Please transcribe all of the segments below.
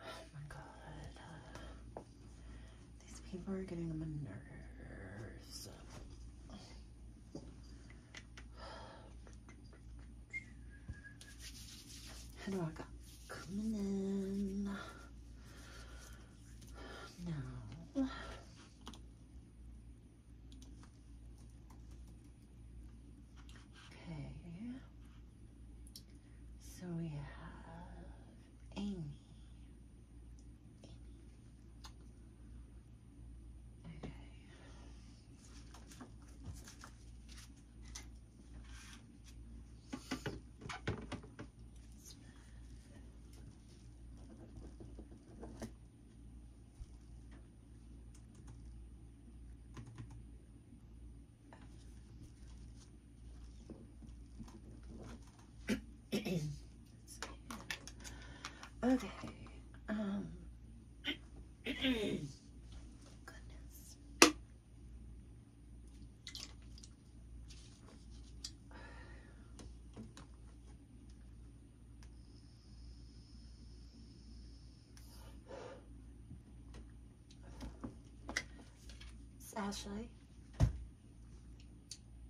Oh my god. These people are getting a my nerves. How do I got coming in? Now. Okay. So we have Amy. Okay okay. Um. goodness. Ashley.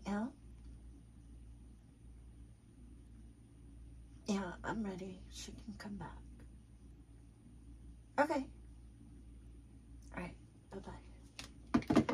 Yeah? Yeah, I'm ready. She can come back. Okay. All right. Bye-bye.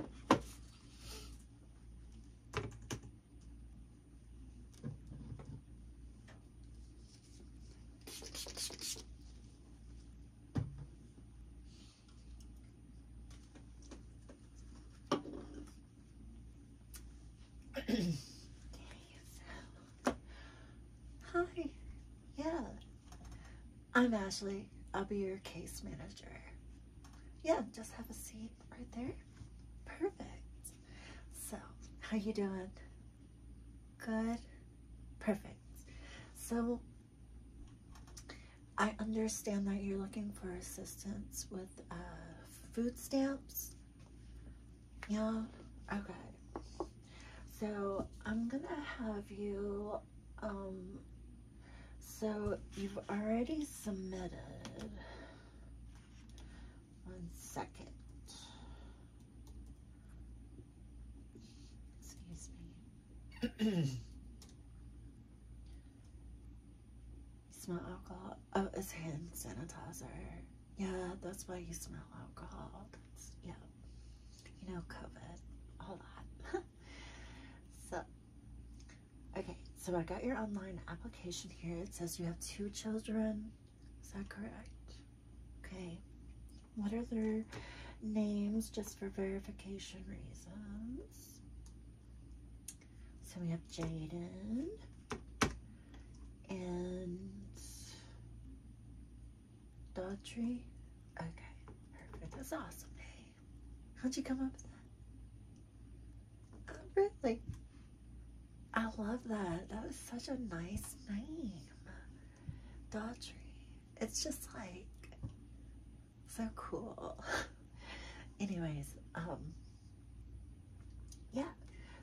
Hi. Yeah. I'm Ashley. I'll be your case manager. Yeah, just have a seat right there. Perfect. So, how you doing? Good? Perfect. So I understand that you're looking for assistance with uh, food stamps. Yeah, okay. So I'm gonna have you, um, so you've already submitted, one second. Excuse me. smell alcohol. Oh, it's hand sanitizer. Yeah, that's why you smell alcohol. yeah. You know, COVID, all that. so, okay, so I got your online application here. It says you have two children. Is that correct? Okay. What are their names just for verification reasons? So we have Jaden and Daughtry. Okay, perfect. That's awesome. how'd you come up with that? really? I love that. That was such a nice name. Daughtry. It's just like so cool. Anyways, um, yeah,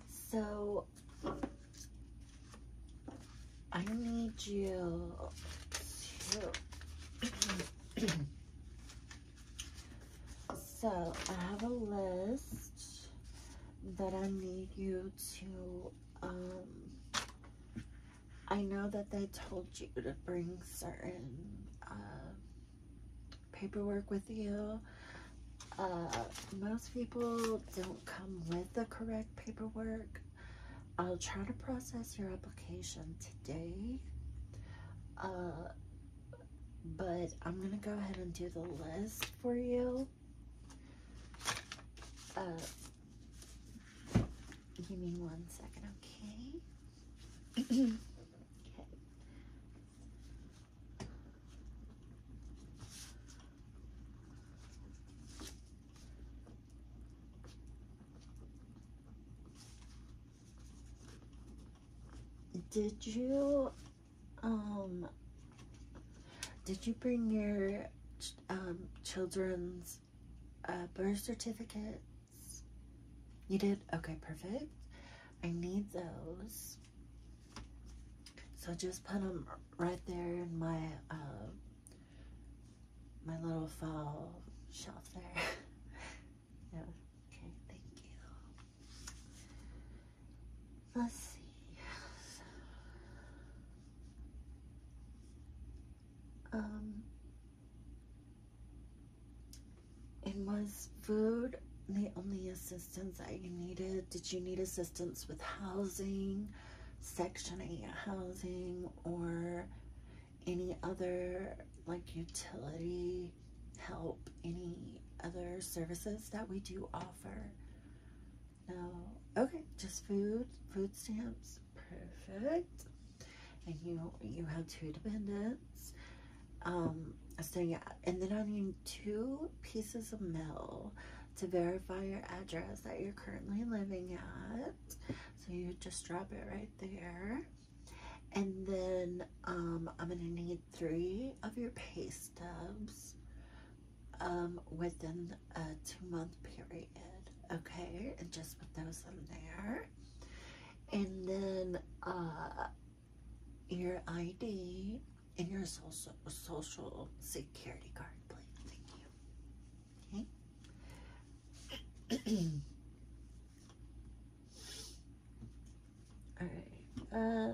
so I need you so I have a list that I need you to um, I know that they told you to bring certain uh, paperwork with you. Uh, most people don't come with the correct paperwork. I'll try to process your application today. Uh, but I'm going to go ahead and do the list for you. Uh, give me one second, okay? okay. Did you um, did you bring your um, children's uh, birth certificates? You did? Okay, perfect. I need those. So just put them right there in my uh, my little file shelf there. yeah. Okay, thank you. Let's see. Um, it was food the only assistance I needed. Did you need assistance with housing, Section 8 housing, or any other like utility help, any other services that we do offer? No. Oh, okay, just food, food stamps. Perfect. And you you have two dependents. Um, so yeah, and then I need two pieces of mail to verify your address that you're currently living at. So you just drop it right there. And then um, I'm gonna need three of your pay stubs um, within a two month period. Okay, and just put those in there. And then uh, your ID and your social, social security card, please. Thank you. Okay. All right. Uh,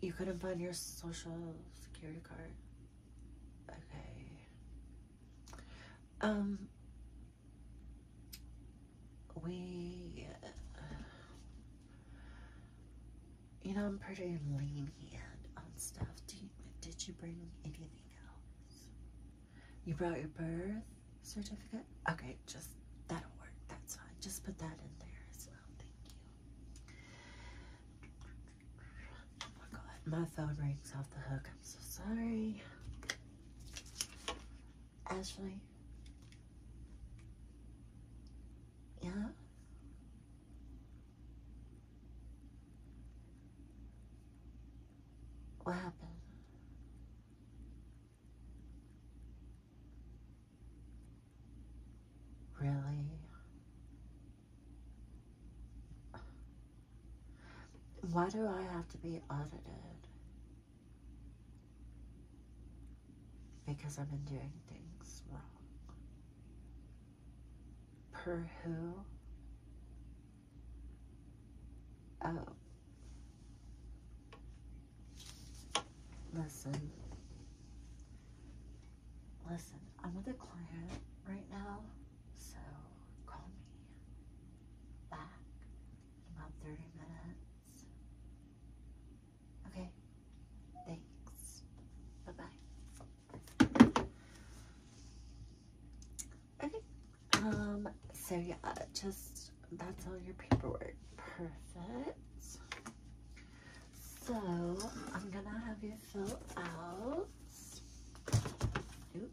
you couldn't find your social security card. Okay. Um, we, you know, I'm pretty lean lenient on stuff. Do did you bring anything else? You brought your birth certificate? Okay, just that'll work. That's fine. Just put that in there as well. Thank you. Oh my my phone rings off the hook. I'm so sorry. Ashley. Yeah? What happened? Really? Why do I have to be audited? Because I've been doing things wrong. Per who? Oh, Listen. Listen, I'm with a client right now, so call me back in about 30 minutes. Okay, thanks. Bye-bye. Okay. Um, so yeah, uh, just, that's all your paperwork. Perfect. So, I'm gonna have you fill out. Oop.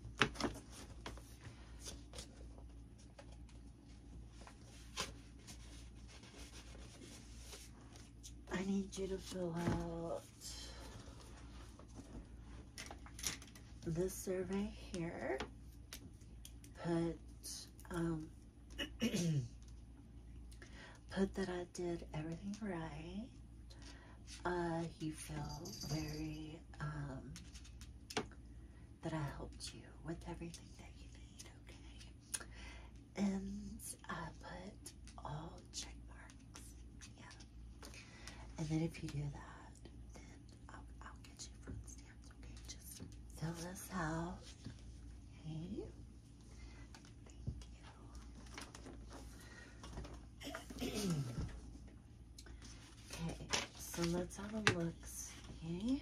I need you to fill out this survey here put um, put that I did everything right. Uh, you feel very um, that I helped you with everything that you need, okay? And I put all check marks yeah. And then if you do that, then I'll, I'll get you food stamps, okay? Just fill this out. Okay? Thank you. okay, so let's have a look, see? Okay.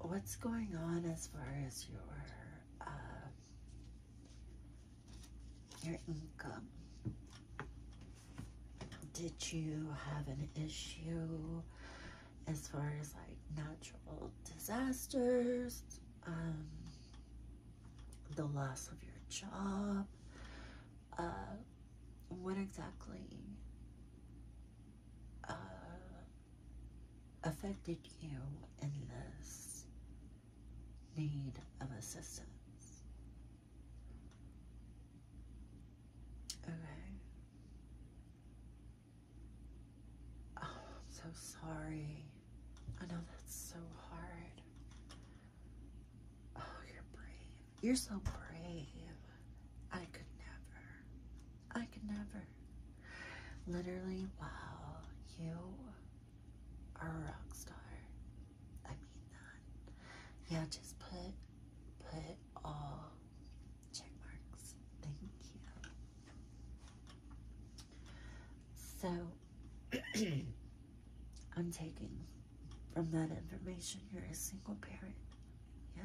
what's going on as far as your uh, your income? Did you have an issue as far as like natural disasters, um, the loss of your job? Uh, what exactly uh, affected you in this need of assistance. Okay. Oh, I'm so sorry. I know that's so hard. Oh, you're brave. You're so brave. I could never. I could never. Literally, wow, you are a rock star. I mean that. Yeah, just put put all check marks. Thank you. So I'm taking from that information you're a single parent. Yeah.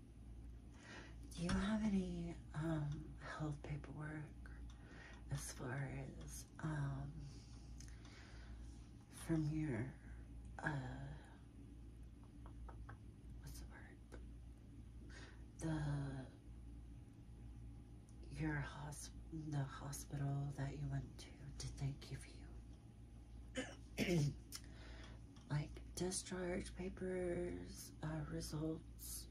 Do you have any um, health paperwork as far as um, from your uh, what's the word? The your hosp the hospital that you went to did they give you like discharge papers, uh, results?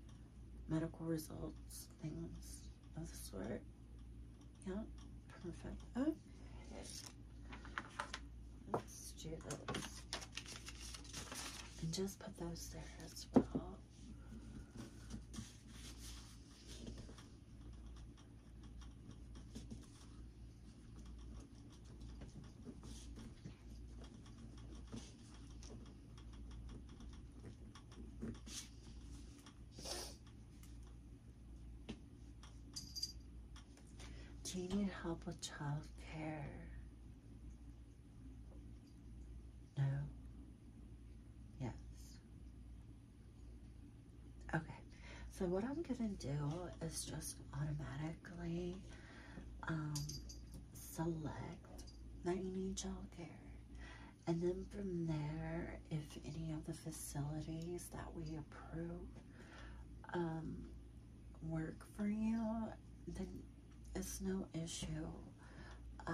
medical results, things of the sort. Yeah, perfect. Let's do And just put those there as well. Do you need help with child care? No? Yes. Okay. So what I'm going to do is just automatically um, select that you need childcare. And then from there, if any of the facilities that we approve um, work for you, then it's no issue, uh,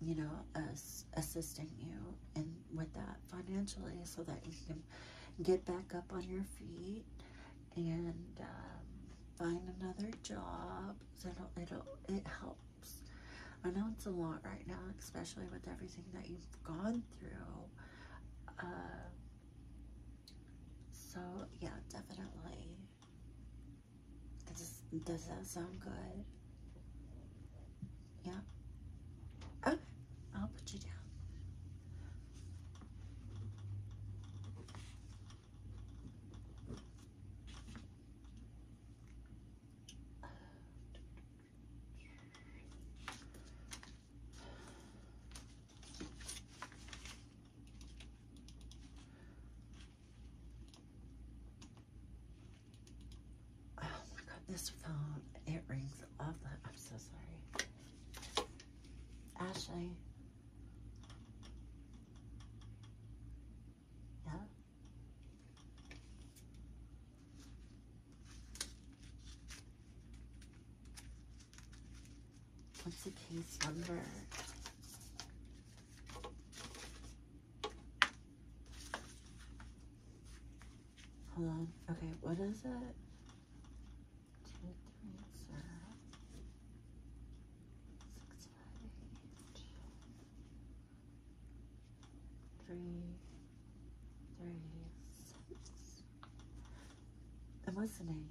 you know, us assisting you and with that financially so that you can get back up on your feet and um, find another job. it it'll, it helps. I know it's a lot right now, especially with everything that you've gone through. Um, so, yeah, definitely. Does, does that sound good? Yeah? Okay, I'll put you down. Oh my god, this phone, it rings off the, I'm so sorry. Ashley, yeah. What's the case number? Hold on. Okay, what is it? two, three, zero, six, five, eight, three, three, six. And what's the name?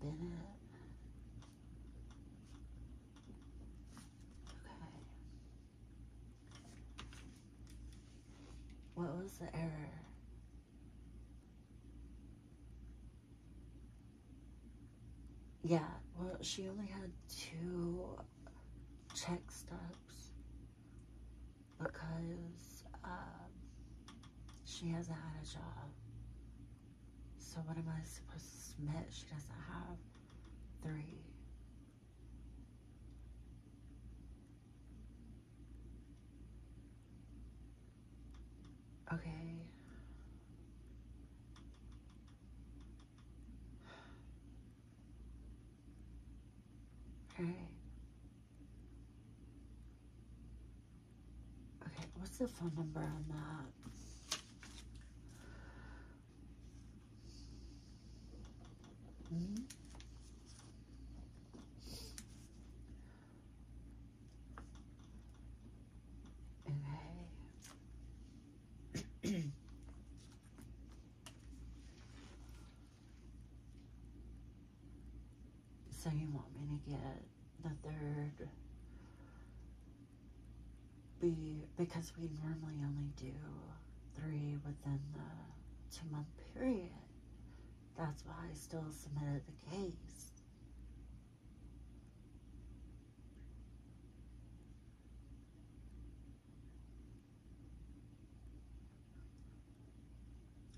Bennett. Okay. What was the error? Yeah, well, she only had two check stops because um, she hasn't had a job. So what am I supposed to admit? She doesn't have three. Okay. Okay. Okay, what's the phone number on that? -hmm so you want me to get the third be because we normally only do three within the two month period that's why I still submitted the case.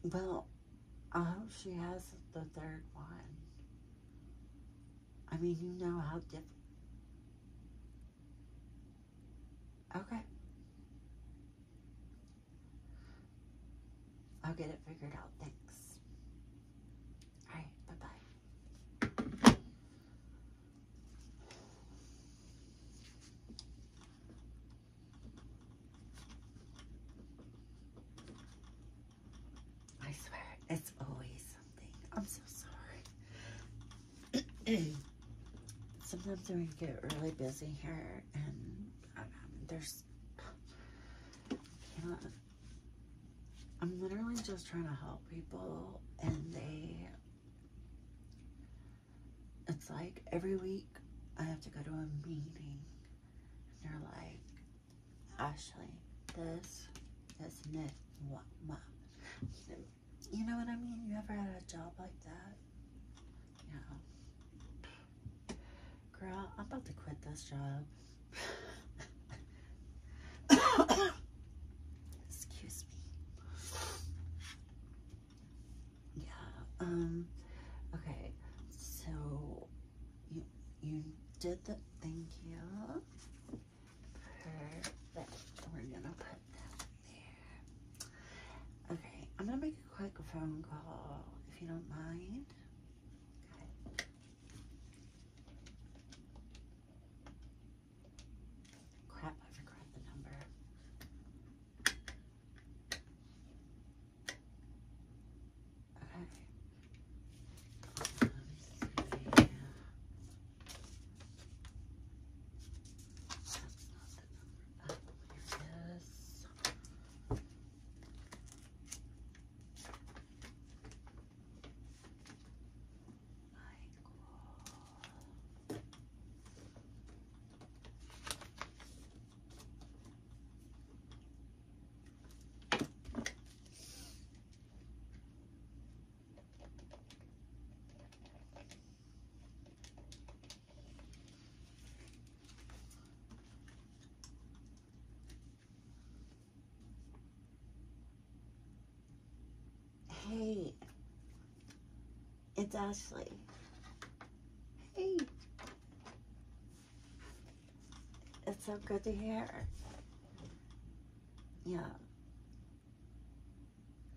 Well, I hope she has the third one. I mean, you know how difficult. Okay. I'll get it figured out. Thanks. All right. Bye-bye. I swear, it's always something. I'm so sorry. Sometimes I get really busy here and um, there's I'm literally just trying to help people and they, it's like every week I have to go to a meeting and they're like, Ashley, this, this and that. You know what I mean? You ever had a job like that? Yeah. Girl, I'm about to quit this job. Excuse me. Yeah, um, okay. So, you, you did the, thank you. Perfect. We're gonna put that there. Okay, I'm gonna make a quick phone call if you don't mind. Crap, I forgot the number. Okay up this. Michael. Hey, it's Ashley. Hey, it's so good to hear. Yeah.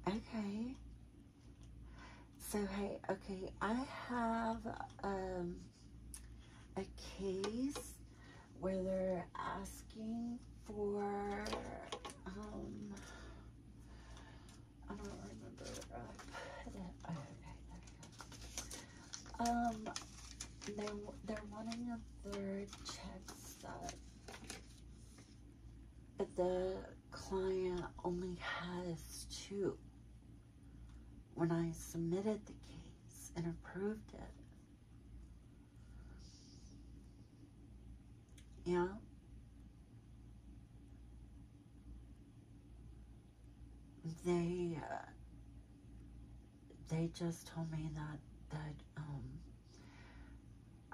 Okay. So, hey, okay, I have um, a case where they're asking for, um, I don't remember where uh, I put it. okay, Um, they're, they're wanting a third check stub. But the client only has two. When I submitted the case and approved it, yeah. They, uh, they just told me that, that, um,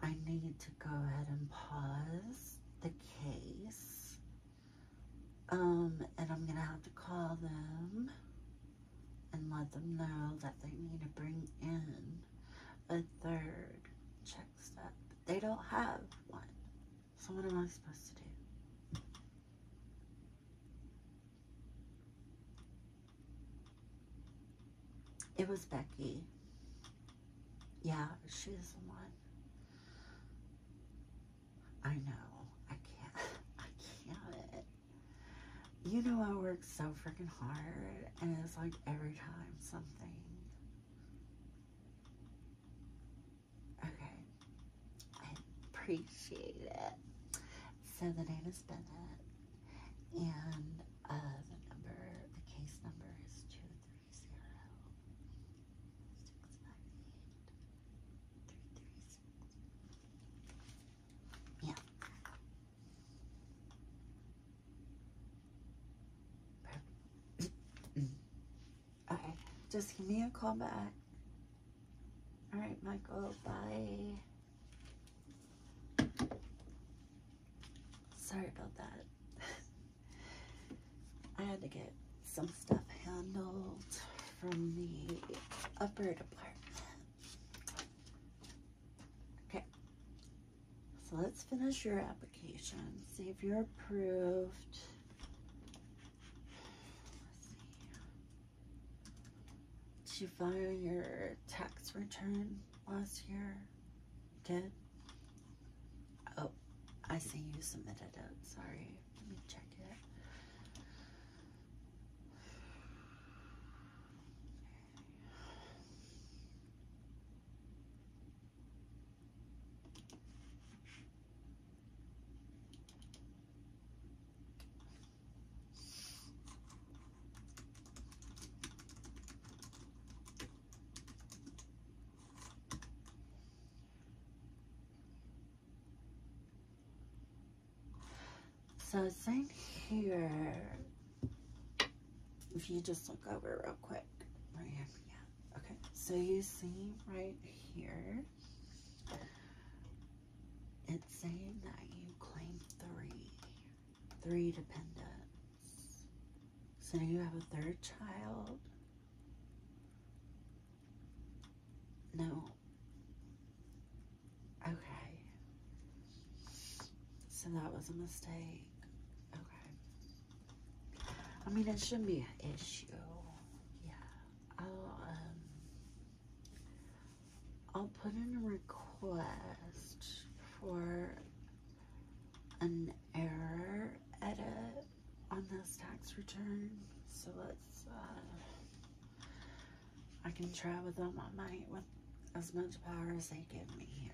I need to go ahead and pause the case um, and I'm gonna have to call them and let them know that they need to bring in a third check step. They don't have one. So what am I supposed to do? It was Becky. Yeah, she's the one. I know. I can't. I can't. You know I work so freaking hard, and it's like every time something. Okay. I appreciate it. So the name is Bennett, and uh, the number, the case number is two three. Yeah. okay, just give me a call back. All right, Michael, bye. Sorry about that. I had to get some stuff handled from the upper department. Okay, so let's finish your application, see if you're approved. Did you file your tax return last year? Did? Oh, I see you submitted it. Sorry. Let me check it. So it's in here. If you just look over real quick. Right here. Yeah. Okay. So you see right here. It's saying that you claim three. Three dependents. So you have a third child no. Okay. So that was a mistake. Okay. I mean, it shouldn't be an issue. Yeah. I'll, um, I'll put in a request for an error edit on this tax return. So let's, uh, I can try with all my might with as much power as they give me here.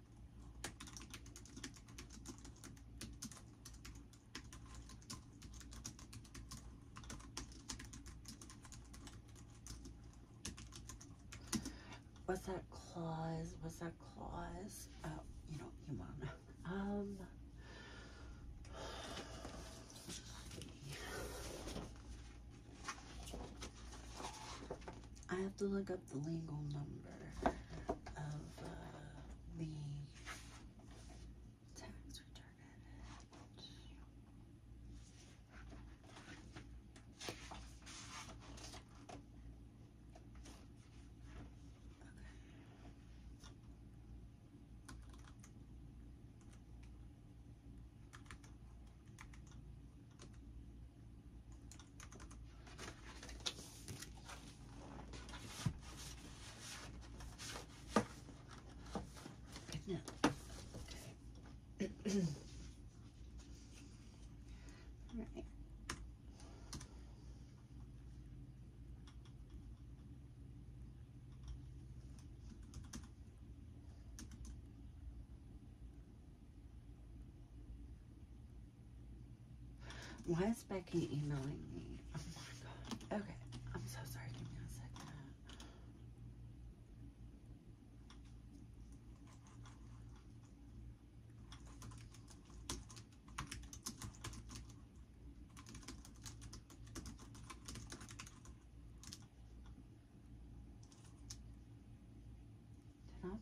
What's that clause? What's that clause? Oh, you know, you mom. Um, I have to look up the legal number of uh, the tax return now, okay. All right. Why is Becky emailing me? Oh okay. I'm so sorry. Give me a Did I get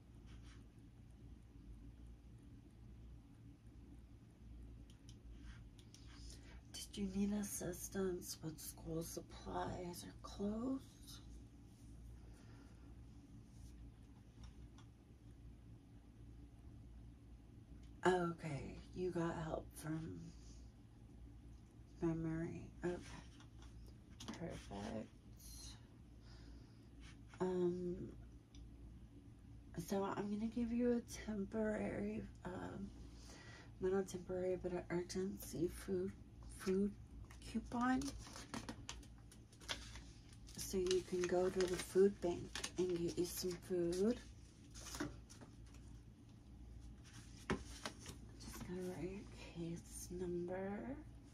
Did you need assistance when school supplies are closed? Okay, you got help from memory. Okay, perfect. Um, so I'm going to give you a temporary, um, not temporary, but an urgency food, food coupon. So you can go to the food bank and get you some food. Just going to write your case number.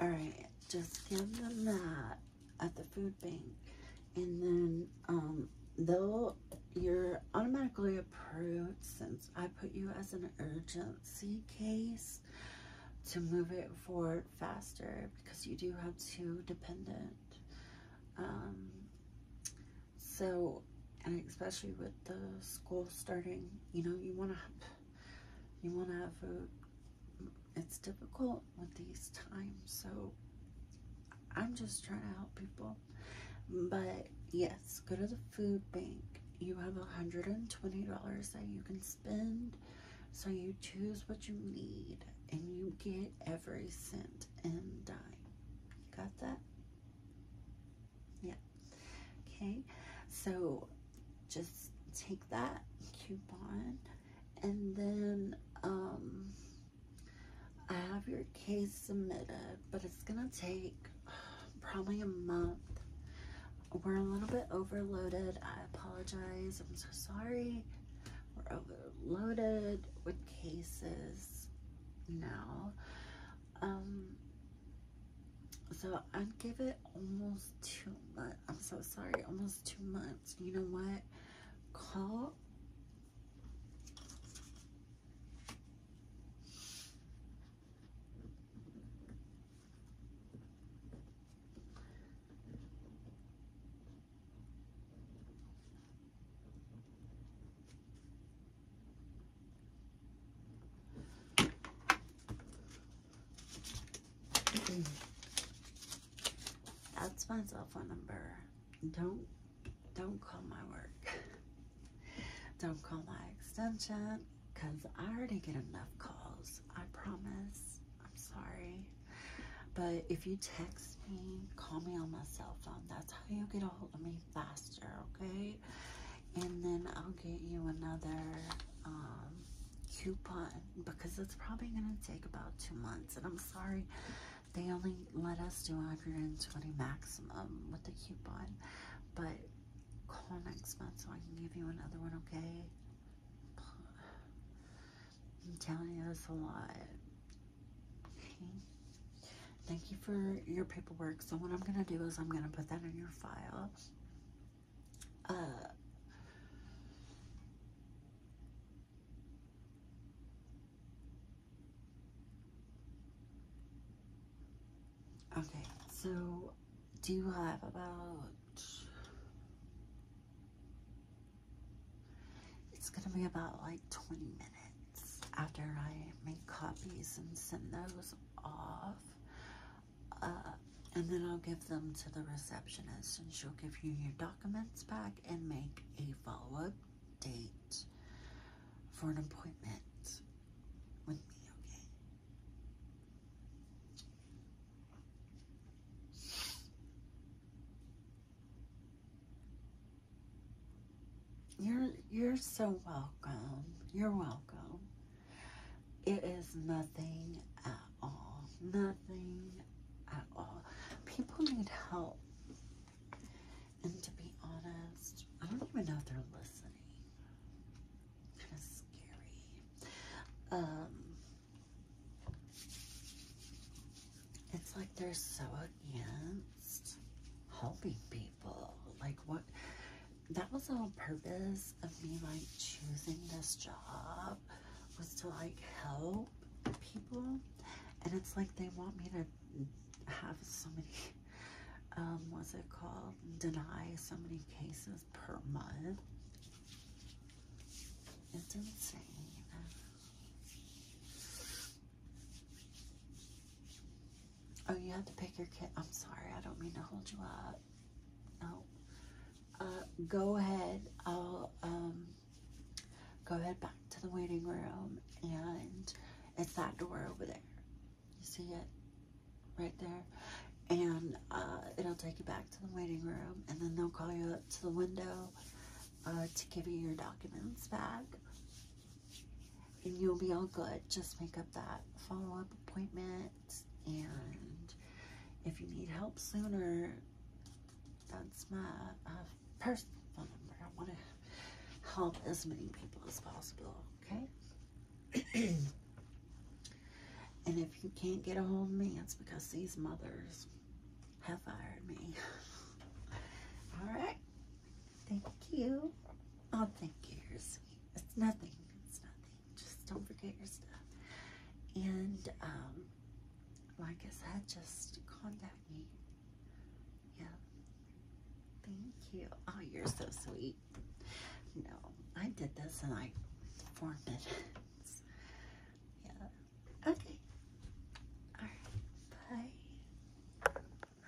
All right, just give them that at the food bank. And then um, they'll, you're automatically approved since I put you as an urgency case to move it forward faster because you do have two dependent. Um, so and especially with the school starting you know you want to you want to have food it's difficult with these times so i'm just trying to help people but yes go to the food bank you have $120 that you can spend so you choose what you need and you get every cent and dime got that yeah. Okay. So just take that coupon and then um, I have your case submitted, but it's going to take probably a month. We're a little bit overloaded. I apologize. I'm so sorry. We're overloaded with cases now. Um, so I would give it almost two months. I'm so sorry, almost two months. You know what? Call. That's my cell phone number. Don't don't call my work. don't call my extension because I already get enough calls. I promise. I'm sorry. But if you text me, call me on my cell phone. That's how you get a hold of me faster, okay? And then I'll get you another um, coupon because it's probably going to take about two months. And I'm sorry, they only let us do 120 maximum with the coupon. But call next month so I can give you another one, okay? I'm telling you, it's a lot. Okay. Thank you for your paperwork. So what I'm gonna do is I'm gonna put that in your file. Uh, okay, so do you have about it's gonna be about like 20 minutes after I make copies and send those off. Uh, and then I'll give them to the receptionist and she'll give you your documents back and make a follow-up date for an appointment with me, okay? You're you're so welcome. You're welcome. It is nothing at all. Nothing at all. People need help. And to be honest, I don't even know if they're listening. Kind of scary. Um it's like they're so against helping people. Like, what? That was the whole purpose of me, like, choosing this job was to, like, help people. And it's like they want me to have so many, um, what's it called? Deny so many cases per month. It's insane. Oh, you have to pick your kit. I'm sorry. I don't mean to hold you up. No. Uh, go ahead. I'll um, go ahead back to the waiting room. And it's that door over there. You see it? Right there. And uh, it'll take you back to the waiting room. And then they'll call you up to the window uh, to give you your documents back and you'll be all good. Just make up that follow up appointment. And if you need help sooner, that's my uh, personal phone number. I want to help as many people as possible, okay? and if you can't get a hold of me, it's because these mothers have fired me. all right. Thank you. Oh, thank you. sweet. It's nothing. It's nothing. Just don't forget your stuff. And, um, like I said, just contact me. Yeah. Thank you. Oh, you're so sweet. No, I did this and I formed it. yeah. Okay. All right. Bye.